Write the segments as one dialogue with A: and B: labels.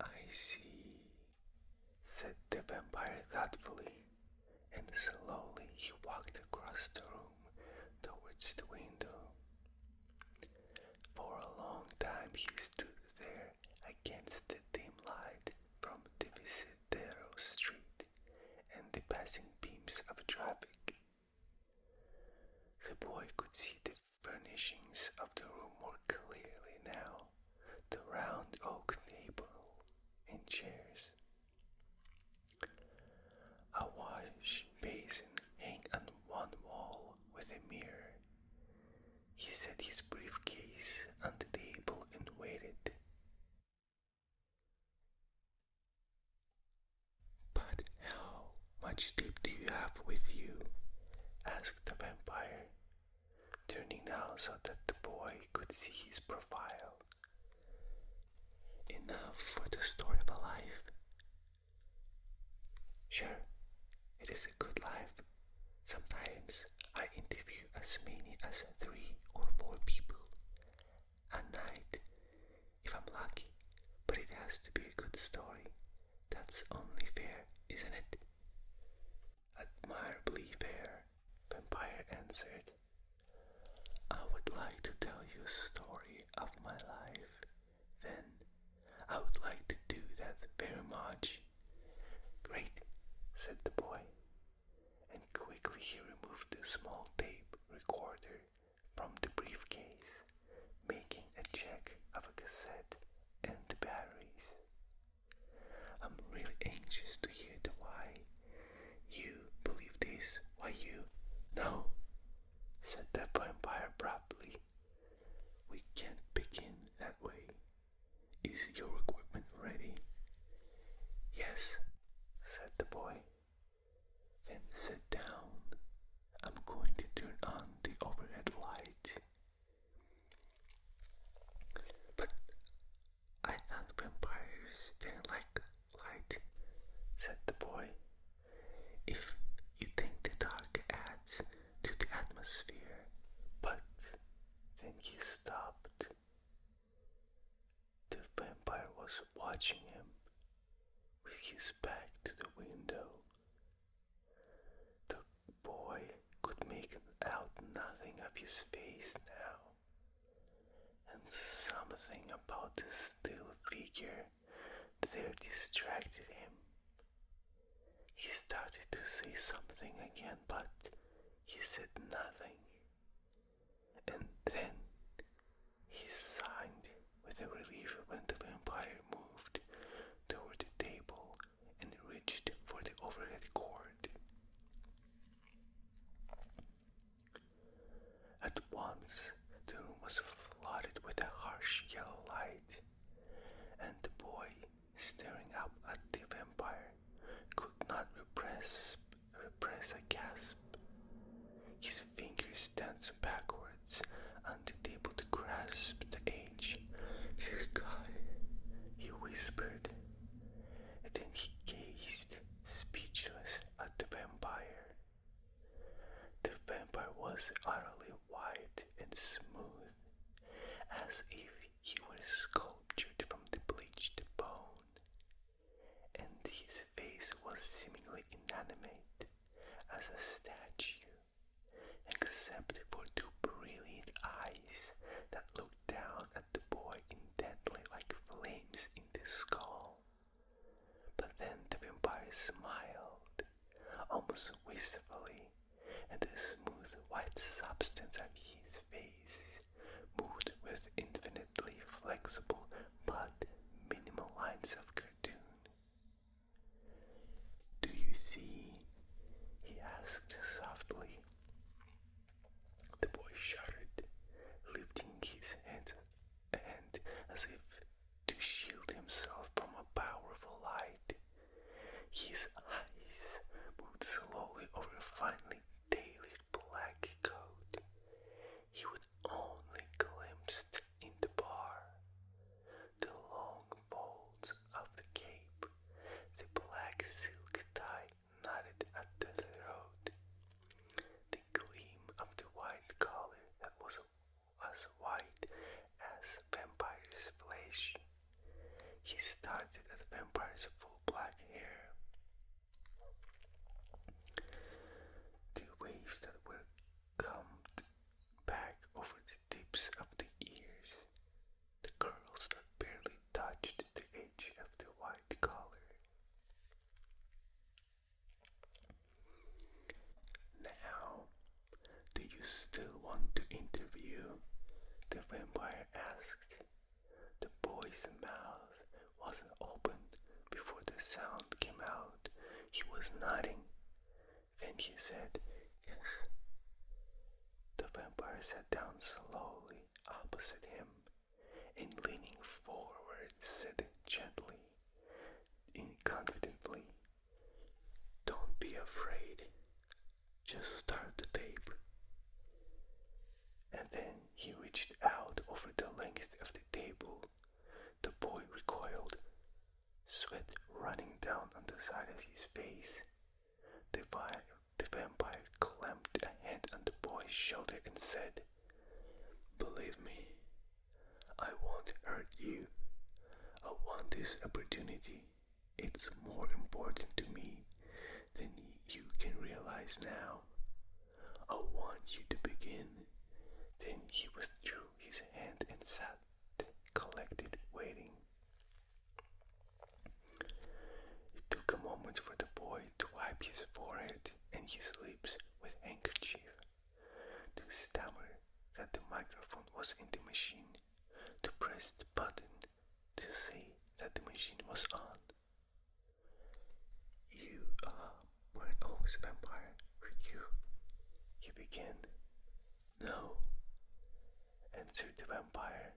A: I see, said the vampire thoughtfully, and slowly he walked across the room towards the window. For a long time he stood there against the dim light from the Divisadero Street and the passing beams of traffic. The boy could see the furnishings of the room more clearly now the round oak table and chairs. A wash basin hung on one wall with a mirror. He set his briefcase on the table and waited. But how much deep do you have with you? asked the vampire, turning now so that the boy could see his profile. Enough for the story of a life. Sure, it is a good life. Sometimes I interview as many as three or four people a night if I'm lucky, but it has to be a good story. That's only fair, isn't it? Admirably fair, Vampire answered. I would like to tell you a story of my life, then. I would like to do that very much. Great, said the boy, and quickly he removed the small tape recorder from the briefcase making a check of a cassette and the I'm really anxious to hear the why. You believe this? Why you? No, said the vampire abruptly. We can't begin that way. Is your equipment ready? Yes, said the boy. Then sit down, I'm going to turn on the overhead light. But I thought vampires didn't like light, said the boy. If you think the dark adds to the atmosphere, but then he stopped. The vampire was watching him with his back to the window the boy could make out nothing of his face now, and something about the still figure there distracted him. He started to say something again, but he said nothing. And then he signed with a relief when the vampire moved toward the table and reached for the overhead cord. At once, the room was flooded with a harsh yellow light, and the boy, staring up at the vampire, could not repress, repress a gasp. His fingers danced backward words until able to grasp the age. Dear God, he whispered. Then he gazed, speechless, at the vampire. The vampire was utterly white and smooth, as if he were sculptured from the bleached bone, and his face was seemingly inanimate as a statue except for two brilliant eyes that looked down at the boy intently like flames in the skull. But then the vampire smiled, almost wistfully, and the smooth white substance of his face moved with infinitely flexible but minimal lines of cartoon. Do you see? he asked softly. The boy shuddered, lifting his head hand as if to shield himself from a powerful light. His eyes moved slowly over a finely tailored black coat. He would only glimpse in the bar, the long folds of the cape, the black silk tie knotted at the throat, the gleam of the white collar that was as white as vampire's flesh. He started at vampire's full black hair. The waves that were combed back over the tips of the ears, the curls that barely touched the edge of the white collar. Now, do you still want to interview? The vampire asked. The boy's mouth wasn't open before the sound came out. He was nodding. Then he said, Yes. The vampire sat down slowly opposite him and leaning forward said gently and confidently, Don't be afraid, just start the tape. And then he reached out over the length of the table. The boy recoiled, sweat running down on the side of his face. The, vi the vampire clamped a hand on the boy's shoulder and said, Believe me, I won't hurt you. I want this opportunity. It's more important to me than you can realize now. I want you to begin. Then he withdrew his hand and sat collected waiting. It took a moment for the boy to wipe his forehead and his lips with handkerchief, to stammer that the microphone was in the machine, to press the button to say that the machine was on. You are my oldest vampire, you, he began. No. Answered the vampire.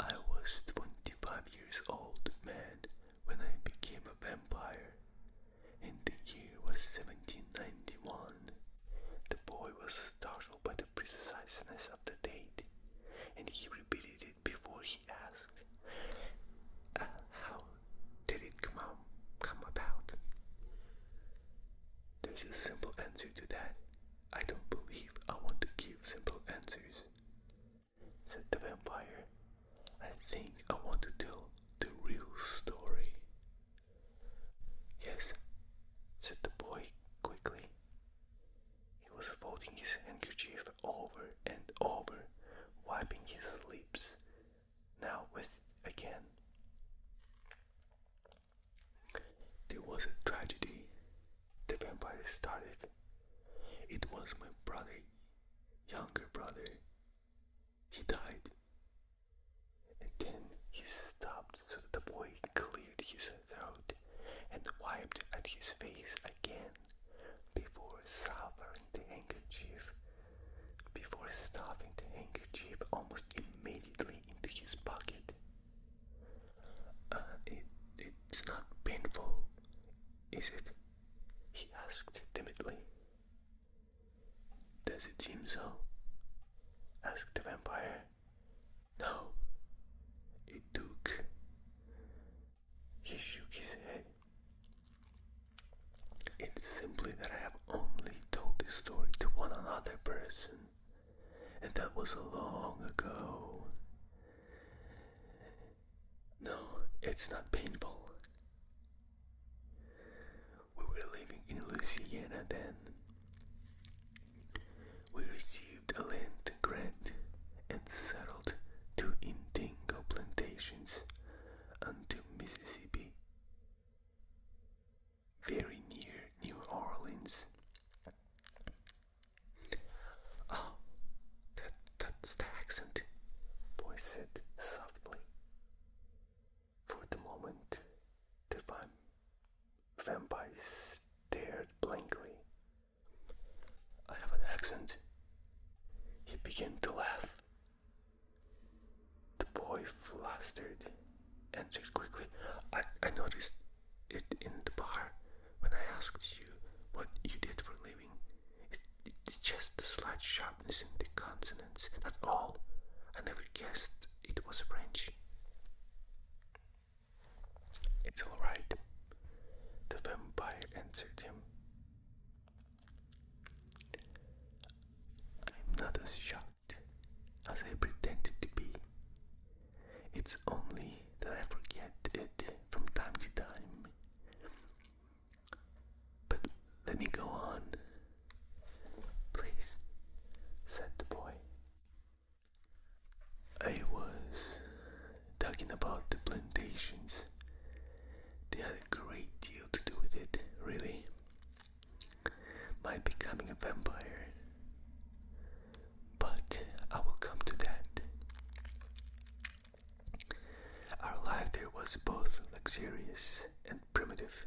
A: I was twenty five years old man when I became a vampire. And the year was seventeen ninety one. The boy was startled by the preciseness of the date, and he repeated it before he asked, uh, did it come, out, come about?" There's a simple answer to that. I don't believe I want to give simple answers, said the vampire. I think I want to tell the real story. Yes, said the boy quickly. He was folding his handkerchief over and over, wiping his lips. Now with again. There was a tragedy. The vampire started. It was my brother, younger brother. He died. And then he stopped, so the boy cleared his throat and wiped at his face again before suffering the handkerchief. Before stuffing the handkerchief almost immediately into his pocket. Uh, it, it's not painful, is it? He asked timidly. Does it seem so? asked the vampire. No, it took. He shook his head. It's simply that I have only told this story to one another person. And that was long ago. No, it's not painful. We were living in Louisiana then. We received a land grant and settled two indigo plantations onto Mississippi very near New Orleans. Oh, that, that's the accent, Boy said softly. For the moment, the vam vampire stared blankly. I have an accent. He began to laugh. The boy flustered answered quickly. I, noticed it in the bar when I asked you what you did for living. It, just the slight sharpness in the consonants, that's all. I never guessed it was French. It's alright, the vampire answered him. I'm not as sharp as I pretended to be. It's only that I forget it from time to time. But let me go on. Please, said the boy. I was talking about the plantations. They had a great deal to do with it, really. My becoming a vampire. But I will come to that. Our life there was both luxurious and primitive,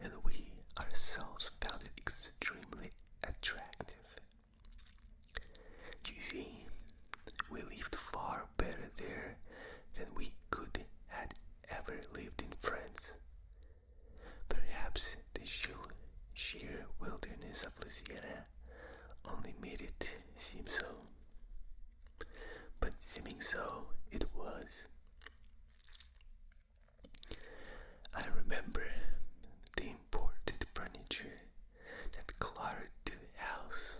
A: and we ourselves found it extremely attractive. You see, we lived far better there than we could have ever lived in France. Perhaps the sheer wilderness of Louisiana only made it seem so. But seeming so, it was. I remember the imported furniture that cluttered the house.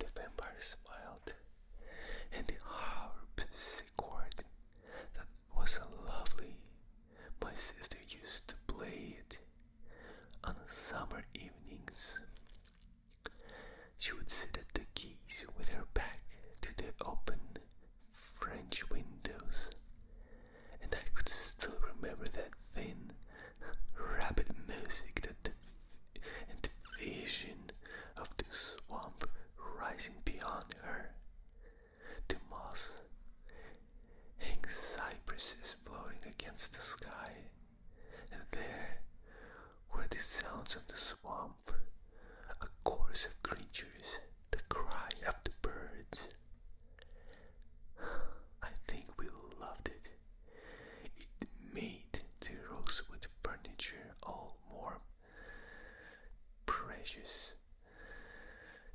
A: The vampire smiled, and the harp scored was lovely. My sister used to play it on summer evenings. She would sit at the keys with her back to the open French windows, and I could still remember that thin, rapid music that and the vision of the swamp rising beyond her to moss. Hang cypresses floating against the sky, and there were the sounds of the swamp, a chorus of creatures, the cry of the birds. I think we loved it. It made the rosewood furniture all more precious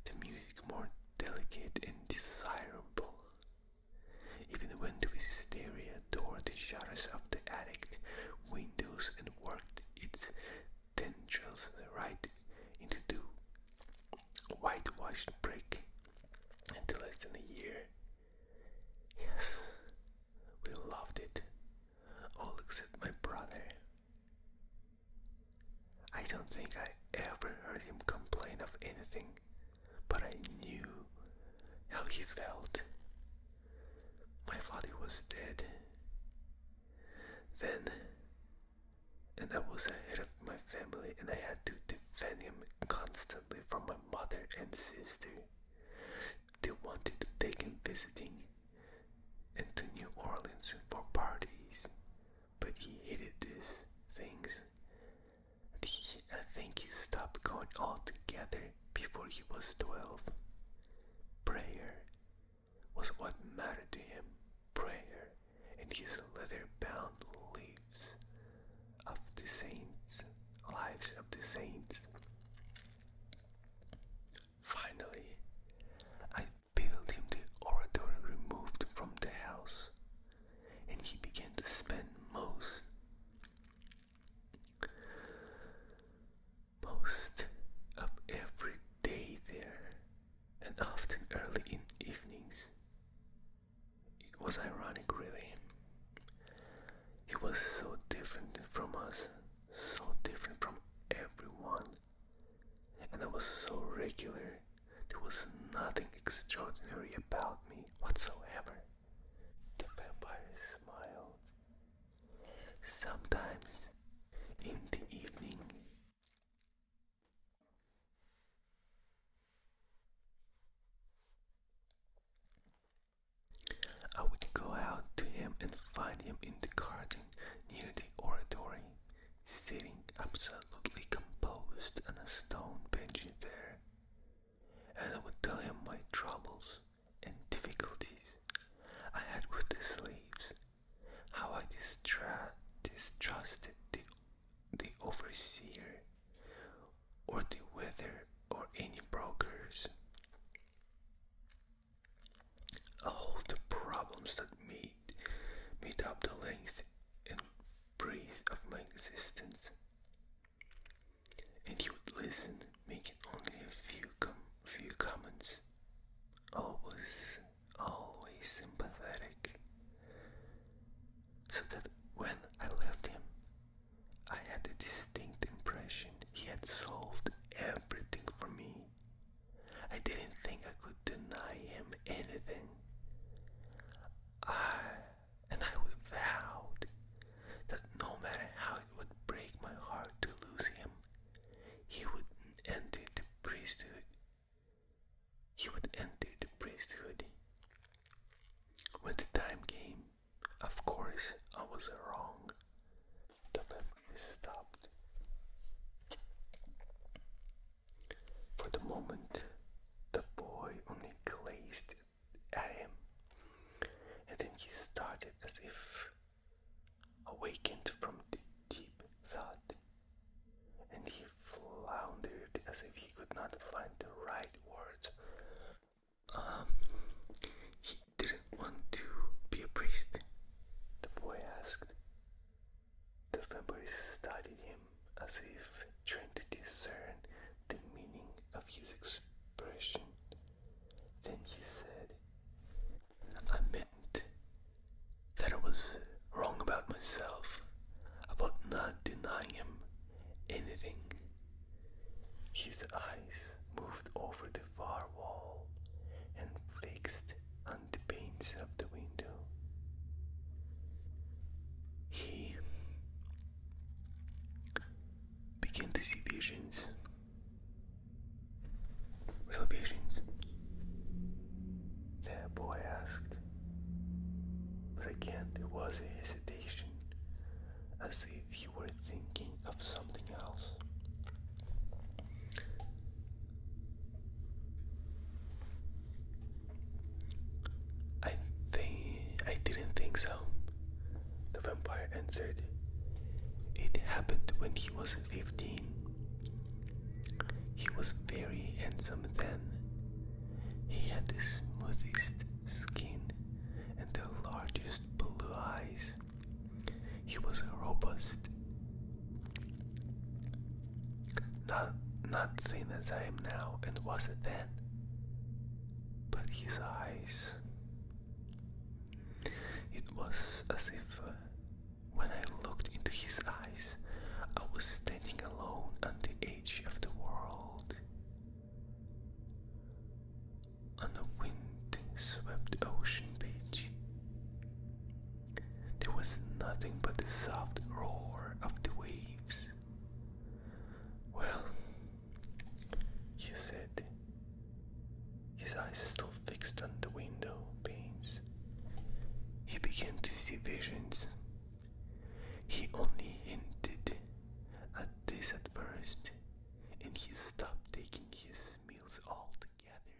A: the music more delicate and desirable. Even when to his stereo the shutters of the attic windows and worked its tendrils right into the washed brick until less than a year. Yes, we loved it, all except my brother. I don't think I ever heard him complain of anything, but I knew how he felt. My father was dead. Then, and I was ahead of my family, and I had to defend him constantly from my mother and sister. They wanted to take him visiting, and to New Orleans for parties, but he hated these things. I think he stopped going altogether before he was 12. Prayer was what mattered to him. Prayer and his leather bound leaves of the saints, lives of the saints. Finally, I built him the oratory removed from the house, and he began to spend most most of every day there, and often early in evenings. It was ironic, really. He was so different from us, so different from everyone and I was so regular, there was nothing extraordinary about me whatsoever. The vampire smiled. Sometimes in the evening, I would go out to him and find him in the garden near the oratory sitting absolutely composed on a stone bench there, and I would tell him my troubles and difficulties I had with the slaves, how I distra distrusted the, the overseer or the weather or any brokers all the problems that made, made up the length and breadth of my existence. And he would listen, making only a few, few comments, always, always sympathetic, so that when I left him, I had a distinct impression he had solved everything for me I didn't think I could deny him anything. I and I vowed that no matter how it would break my heart to lose him, he would enter the priesthood. He would enter the priesthood. When the time came, of course I was wrong the memory stopped. For the moment, the boy only glazed at him, and then he started as if awakened from deep thought, and he floundered as if he could not find the right words. Um, he didn't want to be a priest, the boy asked. The Februaries studied him as if trying to discern the meaning of his expression. Then she said, I meant that I was wrong about myself, about not denying him anything. His eyes moved over the far wall and fixed on the panes of the window. He began to see visions, real visions. The boy asked, but again there was a hesitation, as if he were thinking of something else. I think I didn't think so. The vampire answered. It happened when he was 15. He was very handsome then. He had the smoothest skin and the largest blue eyes. He was robust. Not not the as I am now and wasn't then. But his eyes. It was as if uh, when I looked into his eyes, I was standing alone on the edge of the world. On a wind swept ocean beach. There was nothing but the soft roar of the waves. Well, he said, his eyes still fixed on the window panes. He began to see visions. He only hinted at this at first, and he stopped taking his meals altogether.